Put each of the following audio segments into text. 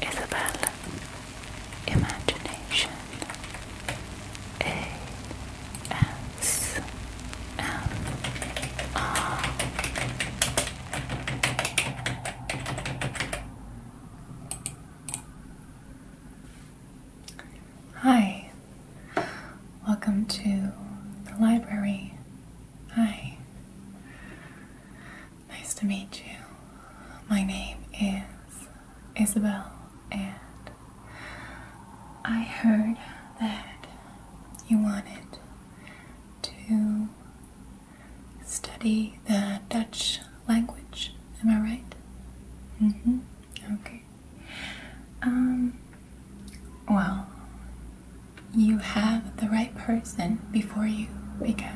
Isabel Imagination A S M R Hi, welcome to the library. Hi. Nice to meet you. My name is Isabel, and I heard that you wanted to study the Dutch language. Am I right? Mm-hmm. Okay. Um, well, you have the right person before you because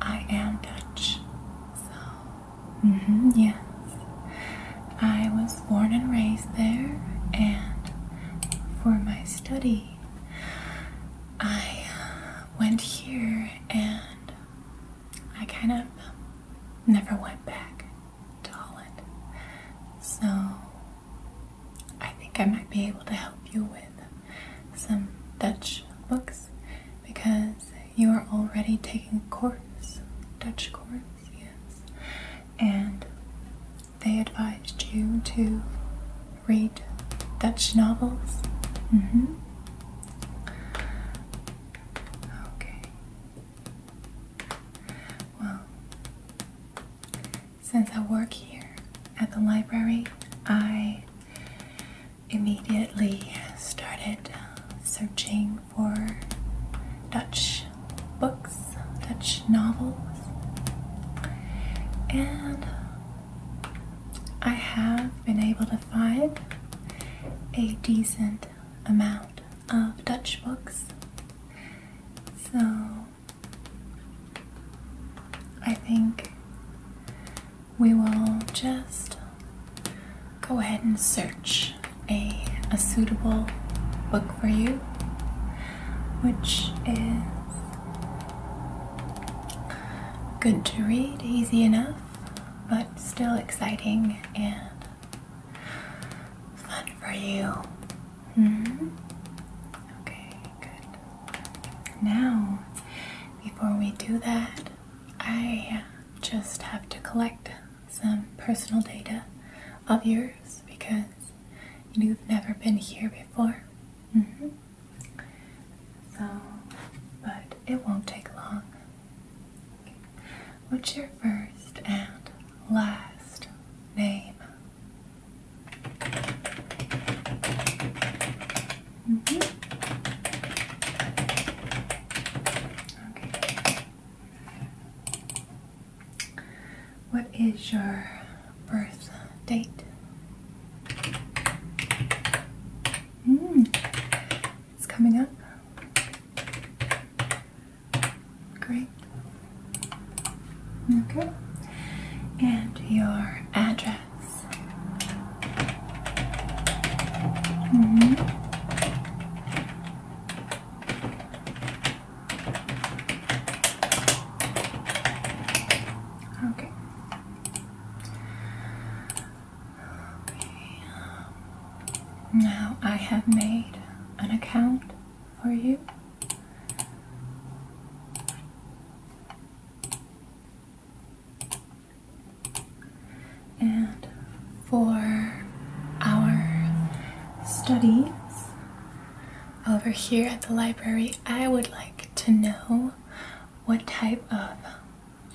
I am Dutch. So, mm yes. I was born and raised there, and for my study, I uh, went here and I kind of um, never went back to Holland. So, I think I might be able to help you with some Dutch books because you are already taking course, Dutch course, yes, and they advised you to read Dutch novels. Mm-hmm. Okay. Well, since I work here at the library, I immediately started uh, searching for Dutch books, Dutch novels, and I have been able to find a decent amount of Dutch books. So I think we will just go ahead and search a, a suitable book for you, which is good to read, easy enough, but still exciting and fun for you. Hmm? Okay, good. Now, before we do that, I just have to collect some personal data of yours because you've never been here before. Mm-hmm. So, but it won't take long. What's your first and last name? Mm-hmm. Okay. What is your birth date? Mm. It's coming up. Great. Okay. And your address. Mm-hmm. Okay. Um, now I have made an account for you. And for our studies over here at the library, I would like to know what type of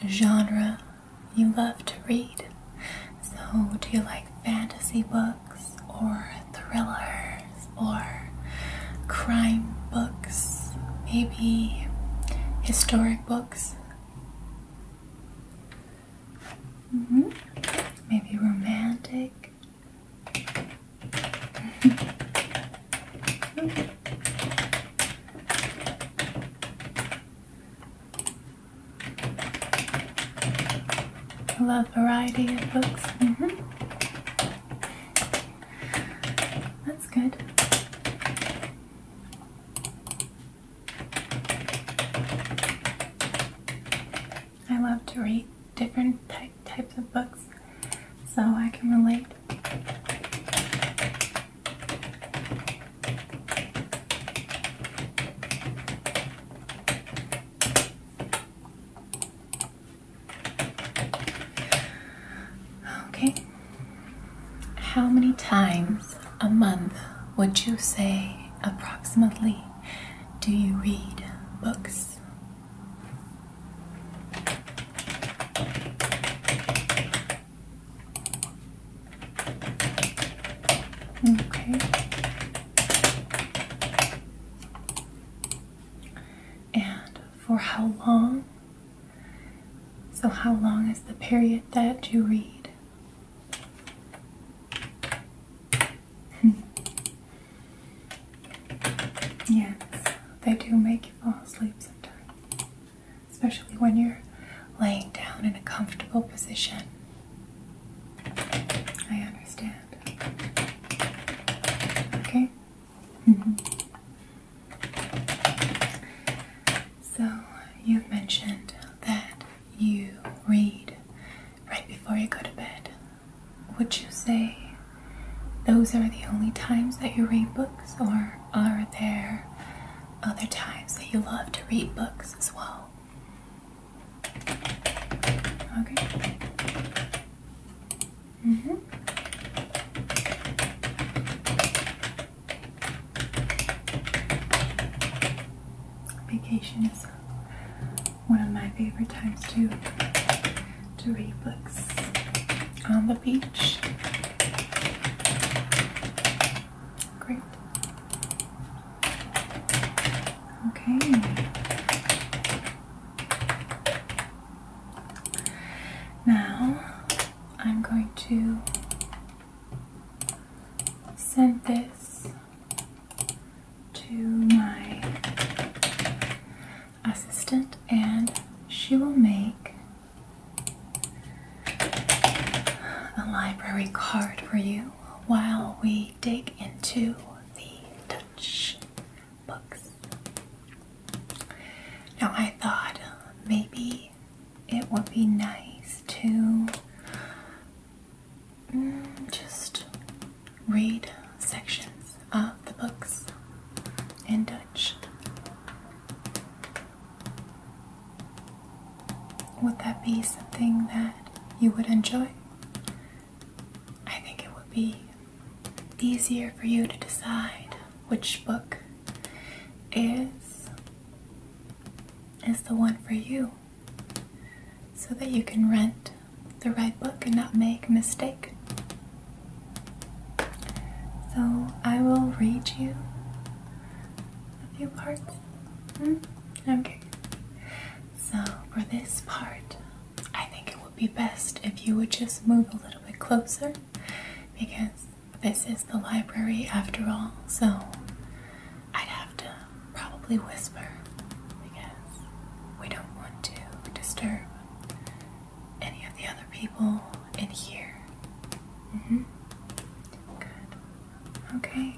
genre you love to read. So, do you like fantasy books or thrillers or crime books, maybe historic books. Mm-hmm. Maybe romantic. I love variety of books. Mm-hmm. That's good. I love to read different types of books so I can relate. Okay. How many times a month would you say approximately do you read books? Okay. And for how long? So, how long is the period that you read? yes, they do make you fall asleep sometimes, especially when you're laying down in a comfortable position. I understand. Okay. Mm-hmm. so you've mentioned that you read right before you go to bed. Would you say those are the only times that you read books, or are there other times that you love to read books as well? Okay. Mm -hmm. Vacation is one of my favorite times to to read books on the beach. Great. Okay. Now I'm going to send this to my assistant and she will make a library card for you while we dig into the Dutch books. Now, I thought maybe it would be nice to mm, just read sections of the books in Dutch. Would that be something that you would enjoy? I think it would be easier for you to decide which book is is the one for you so that you can rent the right book and not make a mistake. So I will read you a few parts. Hmm? Okay. So for this part, I think it would be best if you would just move a little bit closer because this is the library after all, so I'd have to probably whisper because we don't want to disturb any of the other people in here. hmm Good. Okay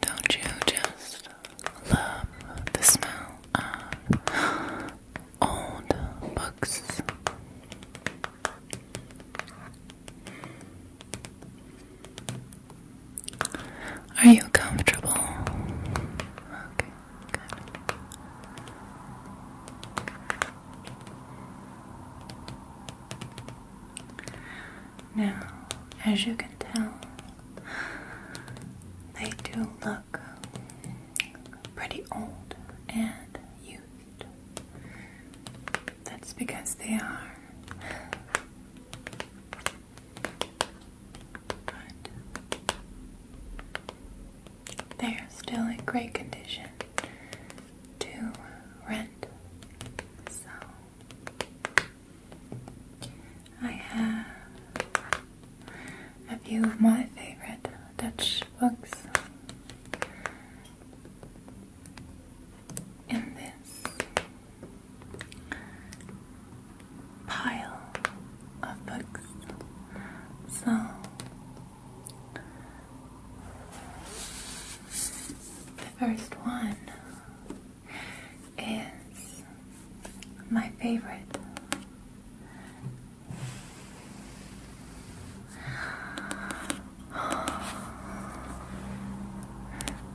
Don't you just love the smell of old books? Are you comfortable? Now, as you can tell, they do look pretty old and used. That's because they are. But they are still in great condition to rent. So I have a few of my favorite Dutch books in this pile of books. So the first one is my favorite.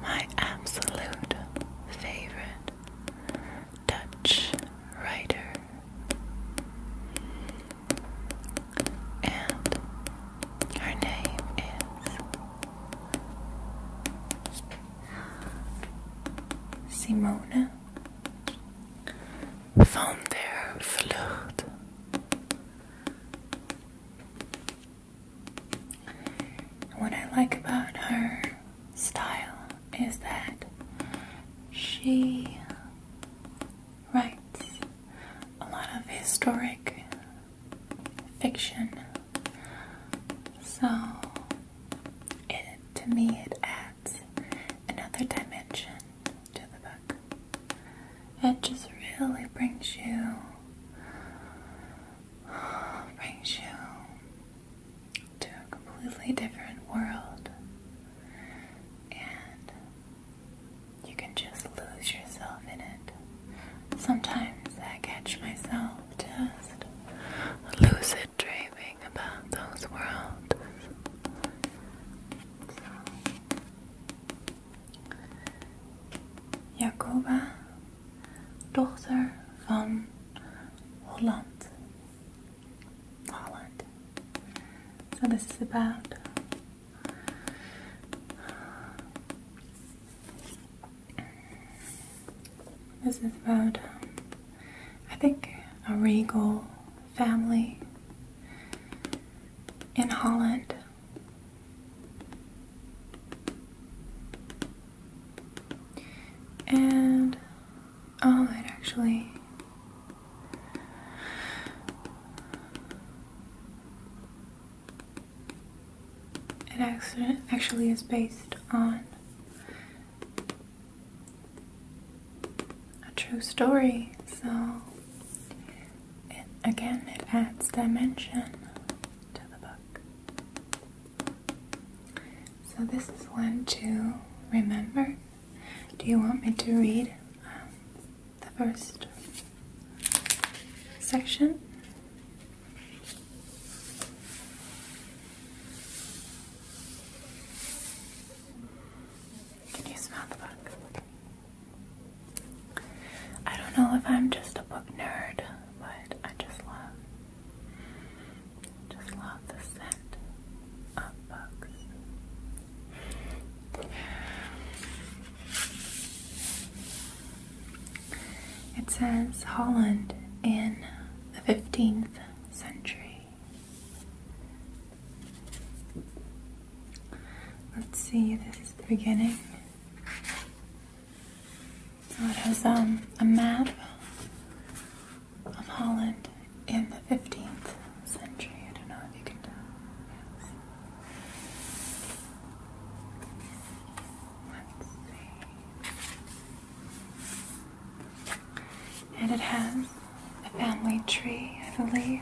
My absolute favorite Dutch writer and her name is Simone van der Vlucht. What I like about her style is that she writes a lot of historic fiction. So, it, to me, it adds another dimension to the book. It just really brings you, brings you to a completely different world. And you can just lose yourself in it. Sometimes I catch myself just lucid dreaming about those worlds. Jacoba, dochter van Holland, Holland. So this is about this is about I think a regal family in Holland. And oh, it actually it actually is based on a true story, so it, again, it adds dimension to the book. So, this is one to remember. Do you want me to read um, the first section? Can you smell the book? I don't know if I'm just a book nerd, but I just love, just love the scent up It says Holland in the 15th century. Let's see, this the beginning. it has um, a map of Holland in the 15th century. I don't know if you can tell. Let's see. And it has a family tree, I believe.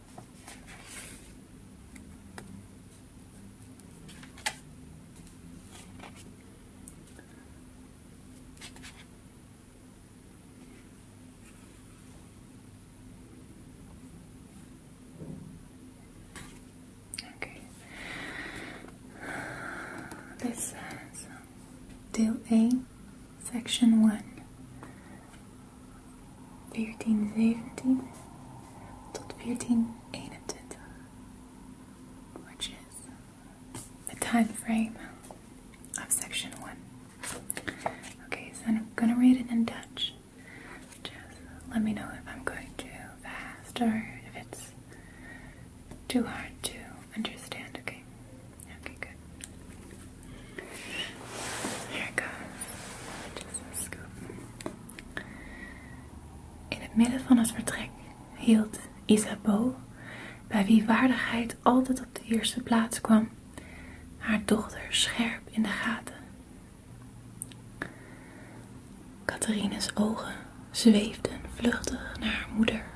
Okay. This says, Deal A, Section 1. 1417 tot 1421, which is the time frame of section 1. Okay, so I'm going to read it in Dutch. Just let me know if I'm going too fast or if it's too hard to understand, okay? In het midden van het vertrek hield Isabeau, bij wie waardigheid altijd op de eerste plaats kwam, haar dochter scherp in de gaten. Catherine's ogen zweefden vluchtig naar haar moeder.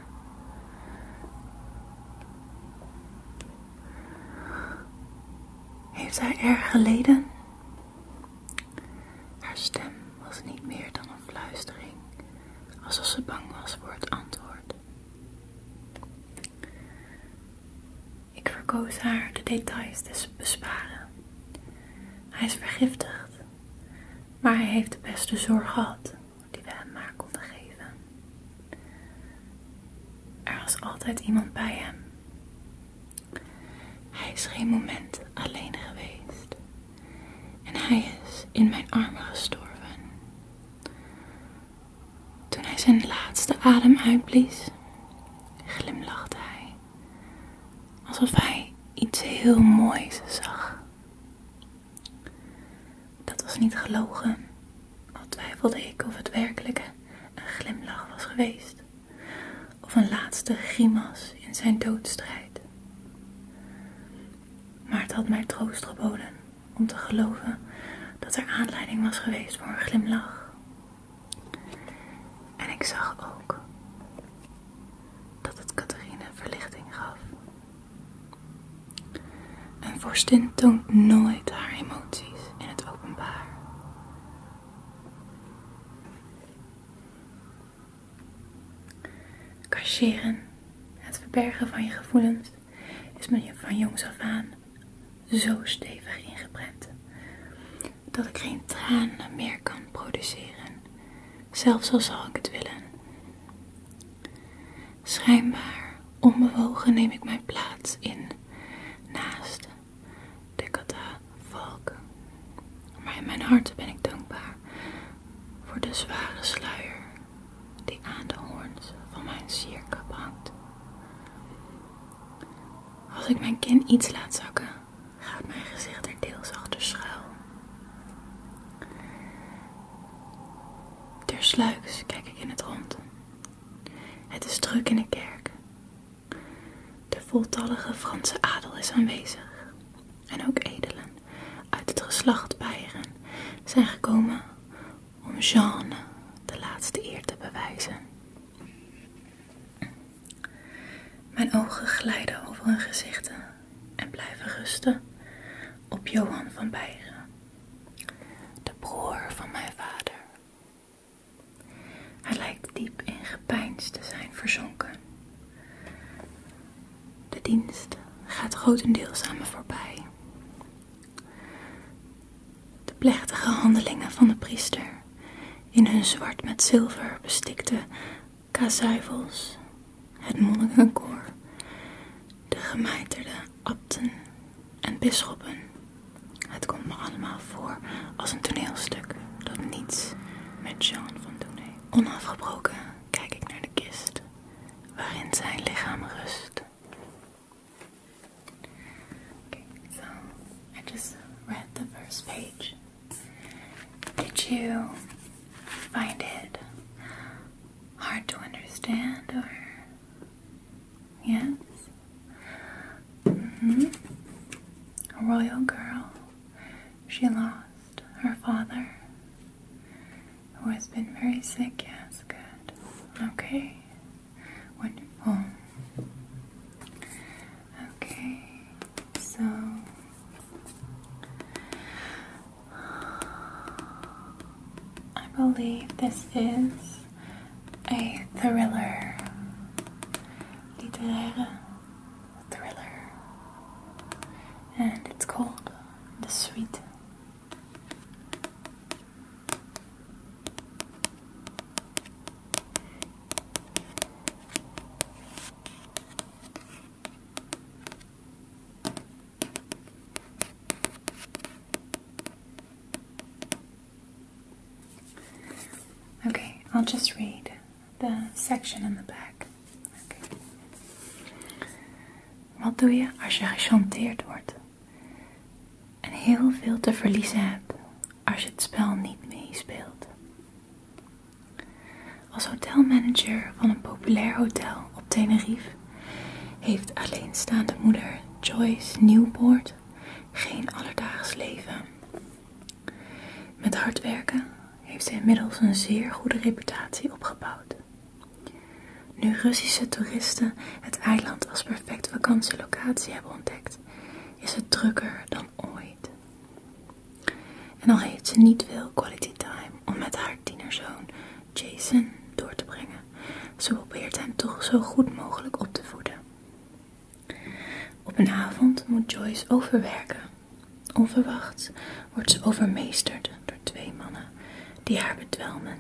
Heeft hij erg geleden? Haar stem was niet meer dan een fluistering, alsof ze bang was voor het antwoord. Ik verkoos haar de details te besparen. Hij is vergiftigd, maar hij heeft de beste zorg gehad die we hem maar konden geven. Er was altijd iemand bij hem. Hij is geen moment alleen geweest. En hij is in mijn armen gestorven. Toen hij zijn laatste adem uitblies, glimlachte hij. Alsof hij iets heel moois zag. Dat was niet gelogen. Al twijfelde ik of het werkelijke een glimlach was geweest, of een laatste grimas in zijn doodstrijd. Maar het had mij troost geboden om te geloven dat er aanleiding was geweest voor een glimlach. En ik zag ook dat het Catherine verlichting gaf. Een vorstin toont nooit haar emoties in het openbaar. Cacheren, het verbergen van je gevoelens, is me van jongs af aan zo stevig ingeprent dat ik geen tranen meer kan produceren, zelfs al zou ik het willen. Schijnbaar onbewogen neem ik mijn plaats in naast de Valk. Maar in mijn hart ben ik dankbaar voor de zware sluier die aan de hoorns van mijn sierkap hangt. Als ik mijn kin iets laat zakken, gaat mijn gezicht er deels achter schuil. Tersluiks kijk ik in het rond het is druk in de kerk. De voltallige Franse adel is aanwezig. En ook edelen uit het geslacht Beieren zijn gekomen om Jeanne de laatste eer te bewijzen. Mijn ogen glijden over hun gezichten en blijven rusten op Johan van Beieren de broer van mijn vader. Hij lijkt diep in gepeins te zijn verzonken. De dienst gaat grotendeels aan me voorbij. De plechtige handelingen van de priester in hun zwart met zilver bestikte kazuivels, het monnikenkoor de gemijterde abten en bisschoppen. Het komt me allemaal voor als een toneelstuk dat niets met John van doen heeft. Onafgebroken kijk ik naar de kist waarin zijn lichaam rust. Okay, so I just read the first page. Did you find it hard to understand or Yes. hmm A royal girl. She lost her father, who has been very sick. Yes, good. Okay. Wonderful. Okay. So. I believe this is a thriller. Littéraire thriller. And it's called The Sweet. Oké, I'll just read the section in the back. Okay. Wat doe je als je gechanteerd wordt en heel veel te verliezen hebt als je het spel niet meespeelt? Als hotelmanager van een populair hotel op Tenerife heeft alleenstaande moeder Joyce Nieuwpoort geen alledaags leven. Met hard werken heeft ze inmiddels een zeer goede reputatie opgebouwd. Nu Russische toeristen het eiland als perfect vakantielocatie hebben ontdekt, is het drukker dan ooit. En al heeft ze niet veel quality time om met haar tienerzoon Jason door te brengen. Ze probeert hem toch zo goed mogelijk op te voeden. Op een avond moet Joyce overwerken. Onverwacht wordt ze overmeesterd door twee mannen die haar bedwelmen.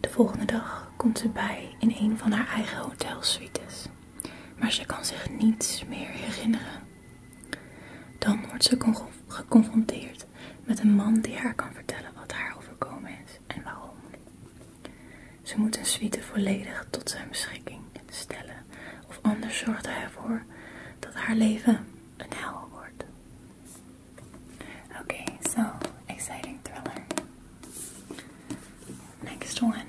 De volgende dag komt ze bij in een van haar eigen hotelsuites, maar ze kan zich niets meer herinneren. Dan wordt ze geconfronteerd met een man die haar kan vertellen wat haar overkomen is en waarom. Ze moet een suite volledig tot zijn beschikking stellen, of anders zorgt hij ervoor dat haar leven een hel wordt. Oké, okay, so exciting thriller. Next one.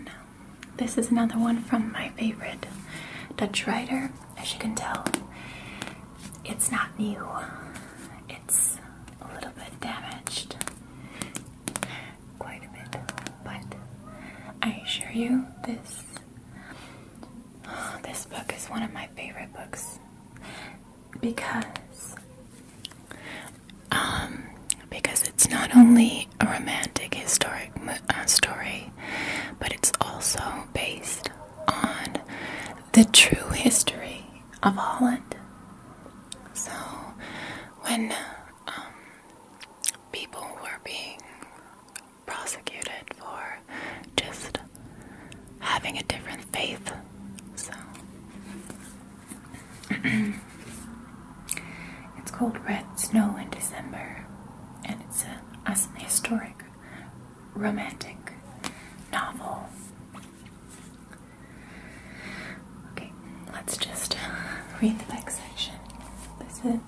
This is another one from my favorite Dutch writer as you can tell, it's not new, it's a little bit damaged. Quite a bit, but I assure you, this this book is one of my favorite books because um, because it's not only a romantic historic uh, story, but it's also based on the true history of Holland. So, when um, people were being prosecuted for just having a different faith, so it's called Red Snow in December, and it's a, as historic romantic novel. Okay, let's just read the next section. This is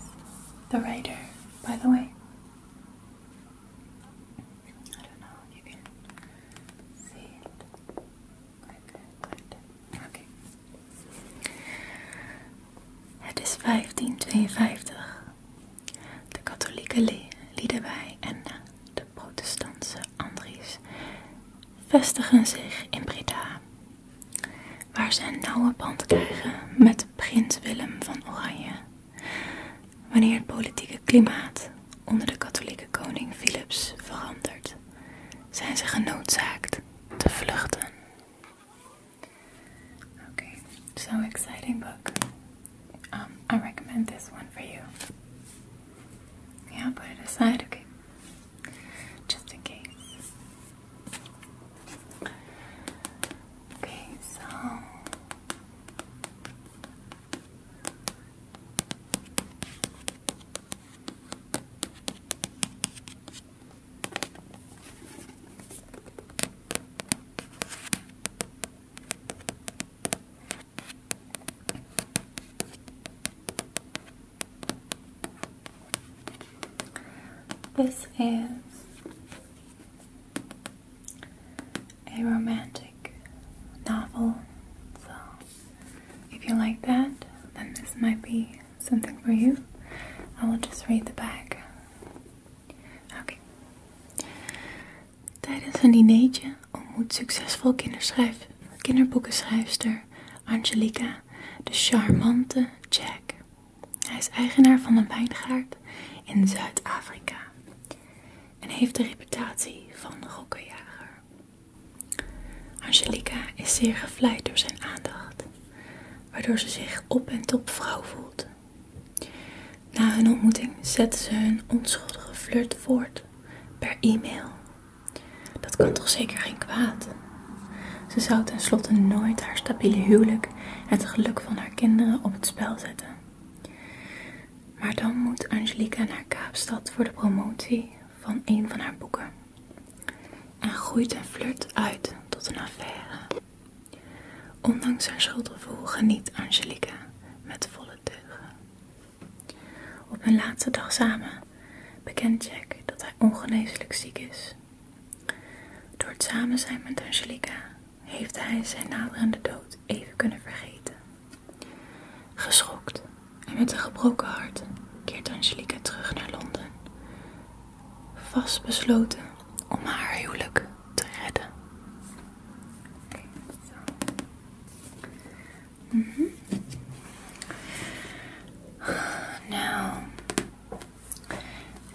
the writer, by the way. I don't know if you can see it. Okay. Het is de katholieke Liedewij en de protestantse Andries vestigen zich in Breda, waar ze een nauwe band krijgen met prins Willem van Oranje. Wanneer het politieke klimaat onder de katholieke koning Philips verandert, zijn ze genoodzaakt te vluchten. Okay, so exciting book. Um, I recommend this one for you. Yeah, put it aside, okay? Just in case. Okay, so this is a romantic novel, so if you like that, then this might be something for you. I will just read the back. Okay. Tijdens een dinertje ontmoet succesvol kinderschrijf, kinderboekenschrijfster Angelica de charmante Jack. Hij is eigenaar van een wijngaard in Zuid-Afrika en heeft de reputatie van rokkenjager. Angelica is zeer gevleid door zijn aandacht, waardoor ze zich op en top vrouw voelt na hun ontmoeting zetten ze hun onschuldige flirt voort per e-mail. Dat kan toch zeker geen kwaad? Ze zou tenslotte nooit haar stabiele huwelijk en het geluk van haar kinderen op het spel zetten. Maar dan moet Angelica naar Kaapstad voor de promotie van een van haar boeken. En groeit een flirt uit tot een affaire. Ondanks zijn schuldgevoel geniet Angelica met volle teugen. Op hun laatste dag samen bekent Jack dat hij ongeneeslijk ziek is. Door het samen zijn met Angelica heeft hij zijn naderende dood even kunnen vergeten. Geschokt en met een gebroken hart keert Angelica terug naar Londen, vastbesloten om haar huwelijk te redden. Mm-hmm. Now,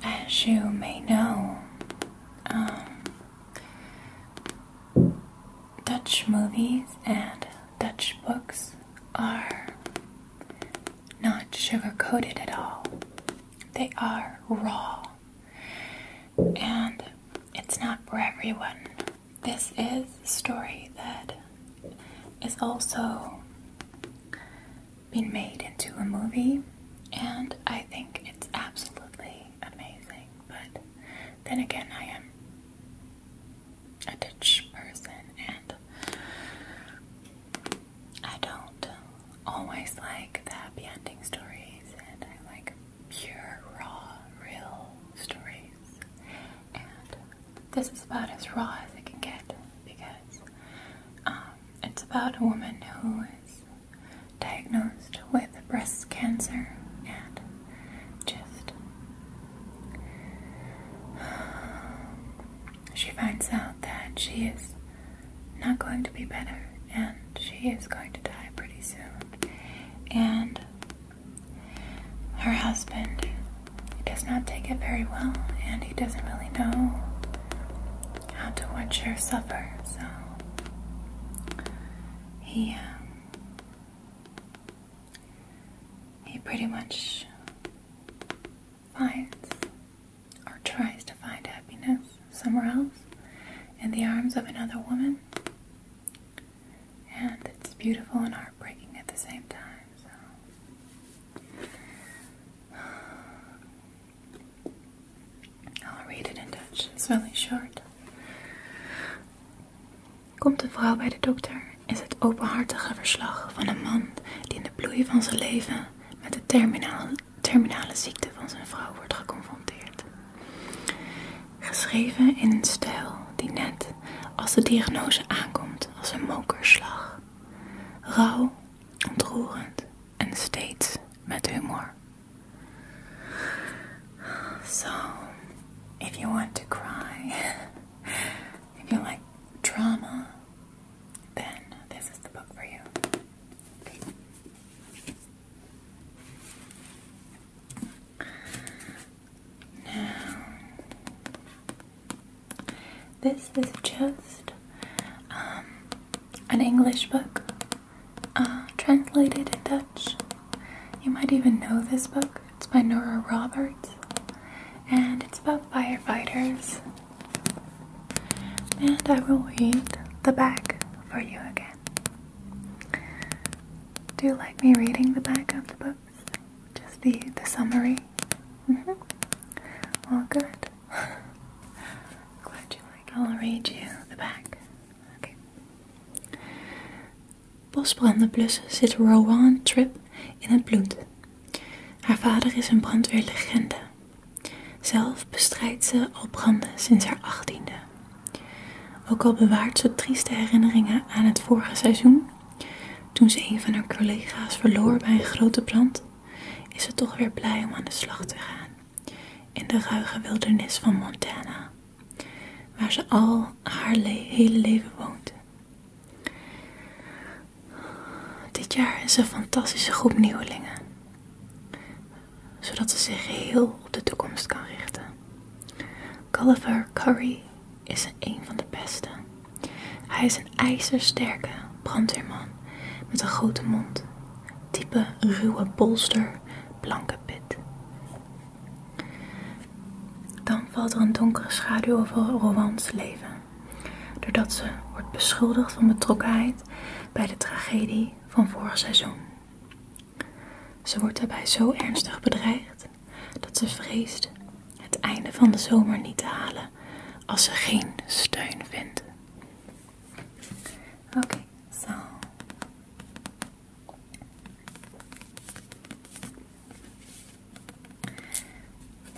as you may know, um, Dutch movies and Dutch books are not sugar coated at all. They are raw and it's not for everyone. This is a story that is also being made into a movie, and I think it's absolutely amazing. But then again, I am a Dutch person, and I don't always like the happy ending stories, and I like pure, raw, real stories. And this is about as raw as it can get because um, it's about a woman who is diagnosed with breast cancer and just. She finds out that she is not going to be better, and she is going to die pretty soon. And her husband does not take it very well, and he doesn't really know how to watch her suffer, so he, uh, he pretty much finds or tries to find happiness somewhere else in the arms of another woman. And it's beautiful and heartbreaking at the same time. I'll read it in Dutch. It's really short. Komt een vrouw bij de dokter, is het openhartige verslag van een man die in de bloei van zijn leven met de terminale, ziekte van zijn vrouw wordt geconfronteerd. Geschreven in een stijl die net als de diagnose aankomt als een mokerslag. Rauw, ontroerend en steeds met humor. So, if you want to cry, if you like drama, then this is the book for you. Now, this is just um, an English book uh, translated in Dutch. You might even know this book. It's by Nora Roberts, and it's about firefighters and I will read the back for you again. Do you like me reading the back of the books? Just the, summary? Mm-hmm. All good. Glad you like I'll read you the back. Okay. Bosbranden zit Rowan Tripp in het bloed. Haar vader is een brandweerlegende. Zelf bestrijdt ze al branden sinds haar achttiende. Ook al bewaart ze trieste herinneringen aan het vorige seizoen, toen ze een van haar collega's verloor bij een grote brand, is ze toch weer blij om aan de slag te gaan in de ruige wildernis van Montana, waar ze al haar hele leven woont. Dit jaar is een fantastische groep nieuwelingen zodat ze zich geheel op de toekomst kan richten. Gulliver Curry is een van de beste. Hij is een ijzersterke brandweerman met een grote mond, type ruwe bolster, blanke pit. Dan valt er een donkere schaduw over Rowans leven, doordat ze wordt beschuldigd van betrokkenheid bij de tragedie van vorig seizoen. Ze wordt daarbij zo ernstig bedreigd dat ze vreest het einde van de zomer niet te halen als ze geen steun vindt. Oké, zo.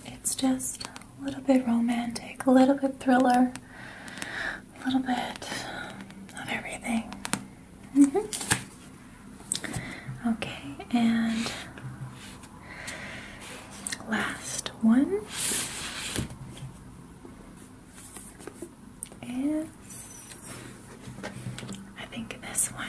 It's just a little bit romantic, a little bit thriller. a little bit of everything. Mm-hmm. Okay, and last one is I think this one.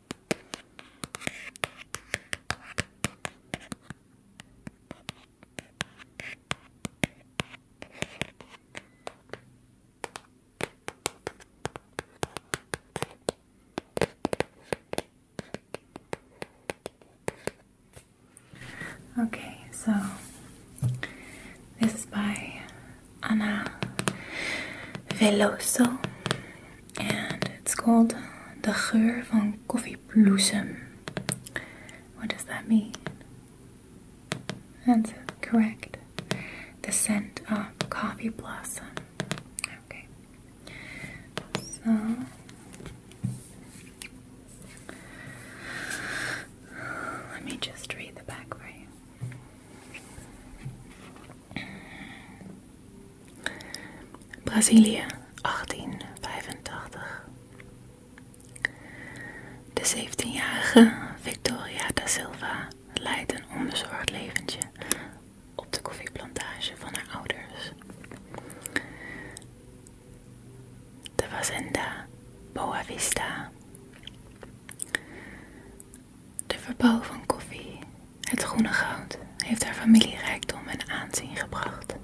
Okay, so this is by Anna Veloso and it's called De Geur van Koffiebloesem. What does that mean? That's correct. The scent of coffee blossom. Okay. So let me just read the back for you. Brazilië 1885. De 17-jarige Victoria da Silva leidt een onbezorgd leventje op de koffieplantage van haar ouders. De Fazenda Boa Vista. De verbouw van koffie, het groene goud, heeft haar familie rijkdom en aanzien gebracht.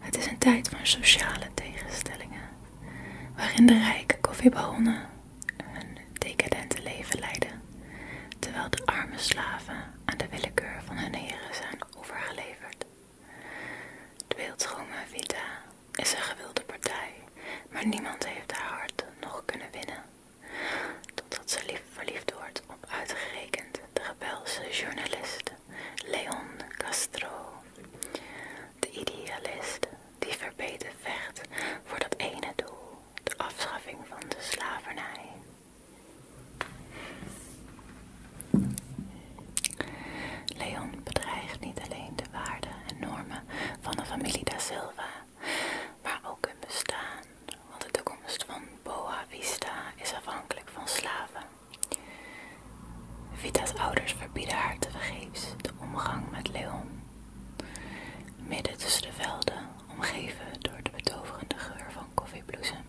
Het is een tijd van sociale tegenstellingen, waarin de rijke koffiebaronnen hun decadente leven leiden, terwijl de arme slaven aan de willekeur van hun heren zijn overgeleverd. De beeldschone Vita is een gewilde partij, maar niemand heeft haar hart nog kunnen winnen totdat ze verliefd wordt op uitgerekend de gebelse journalist Leon Castro. De idealist die verbeten vecht voor dat ene doel, de afschaffing van de slavernij. Leon bedreigt niet alleen de waarden en normen van de familie da Silva maar ook hun bestaan, want de toekomst van Boa Vista is afhankelijk van slaven. Vita's ouders verbieden haar tevergeefs de omgang met Leon. Midden tussen de velden, omgeven door de betoverende geur van koffiebloesem,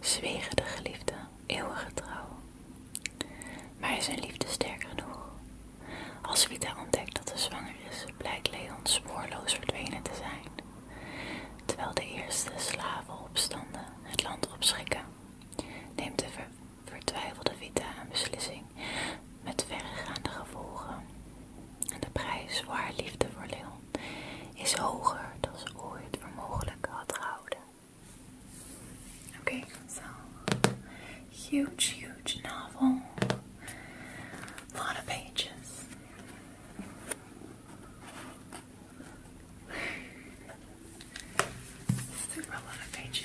zwegen de geliefden eeuwige trouw. Maar is zijn liefde sterk genoeg als Vita ontdekt dat ze zwanger is, blijkt Leon spoorloos verdwenen te zijn, terwijl de eerste slavenopstanden het land opschrikken. Neemt de vertwijfelde Vita een beslissing met verregaande gevolgen. En de prijs voor haar liefde voor Leon is hoger dan ze ooit voor mogelijk had gehouden. Oké, zo. Huge, huge novel. A lot of pages. Super lot of pages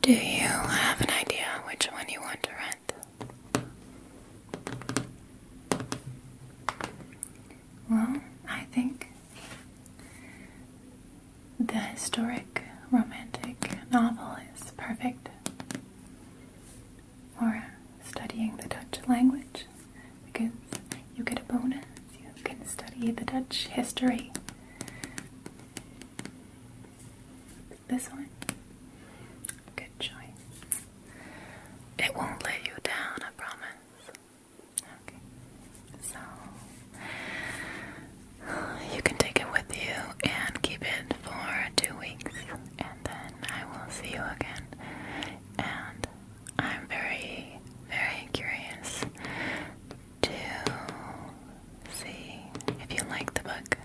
do you have an idea which one you want to rent? Well, I think the historic romantic novel is perfect Or studying the Dutch language because you get a bonus. You can study the Dutch history this one? Good choice. It won't let you down, I promise. Okay. So you can take it with you and keep it for two weeks, and then I will see you again. And I'm very, very curious to see if you like the book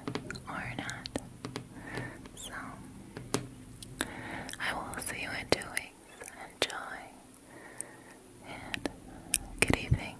or not. So, I will see you in two weeks. Enjoy and good evening.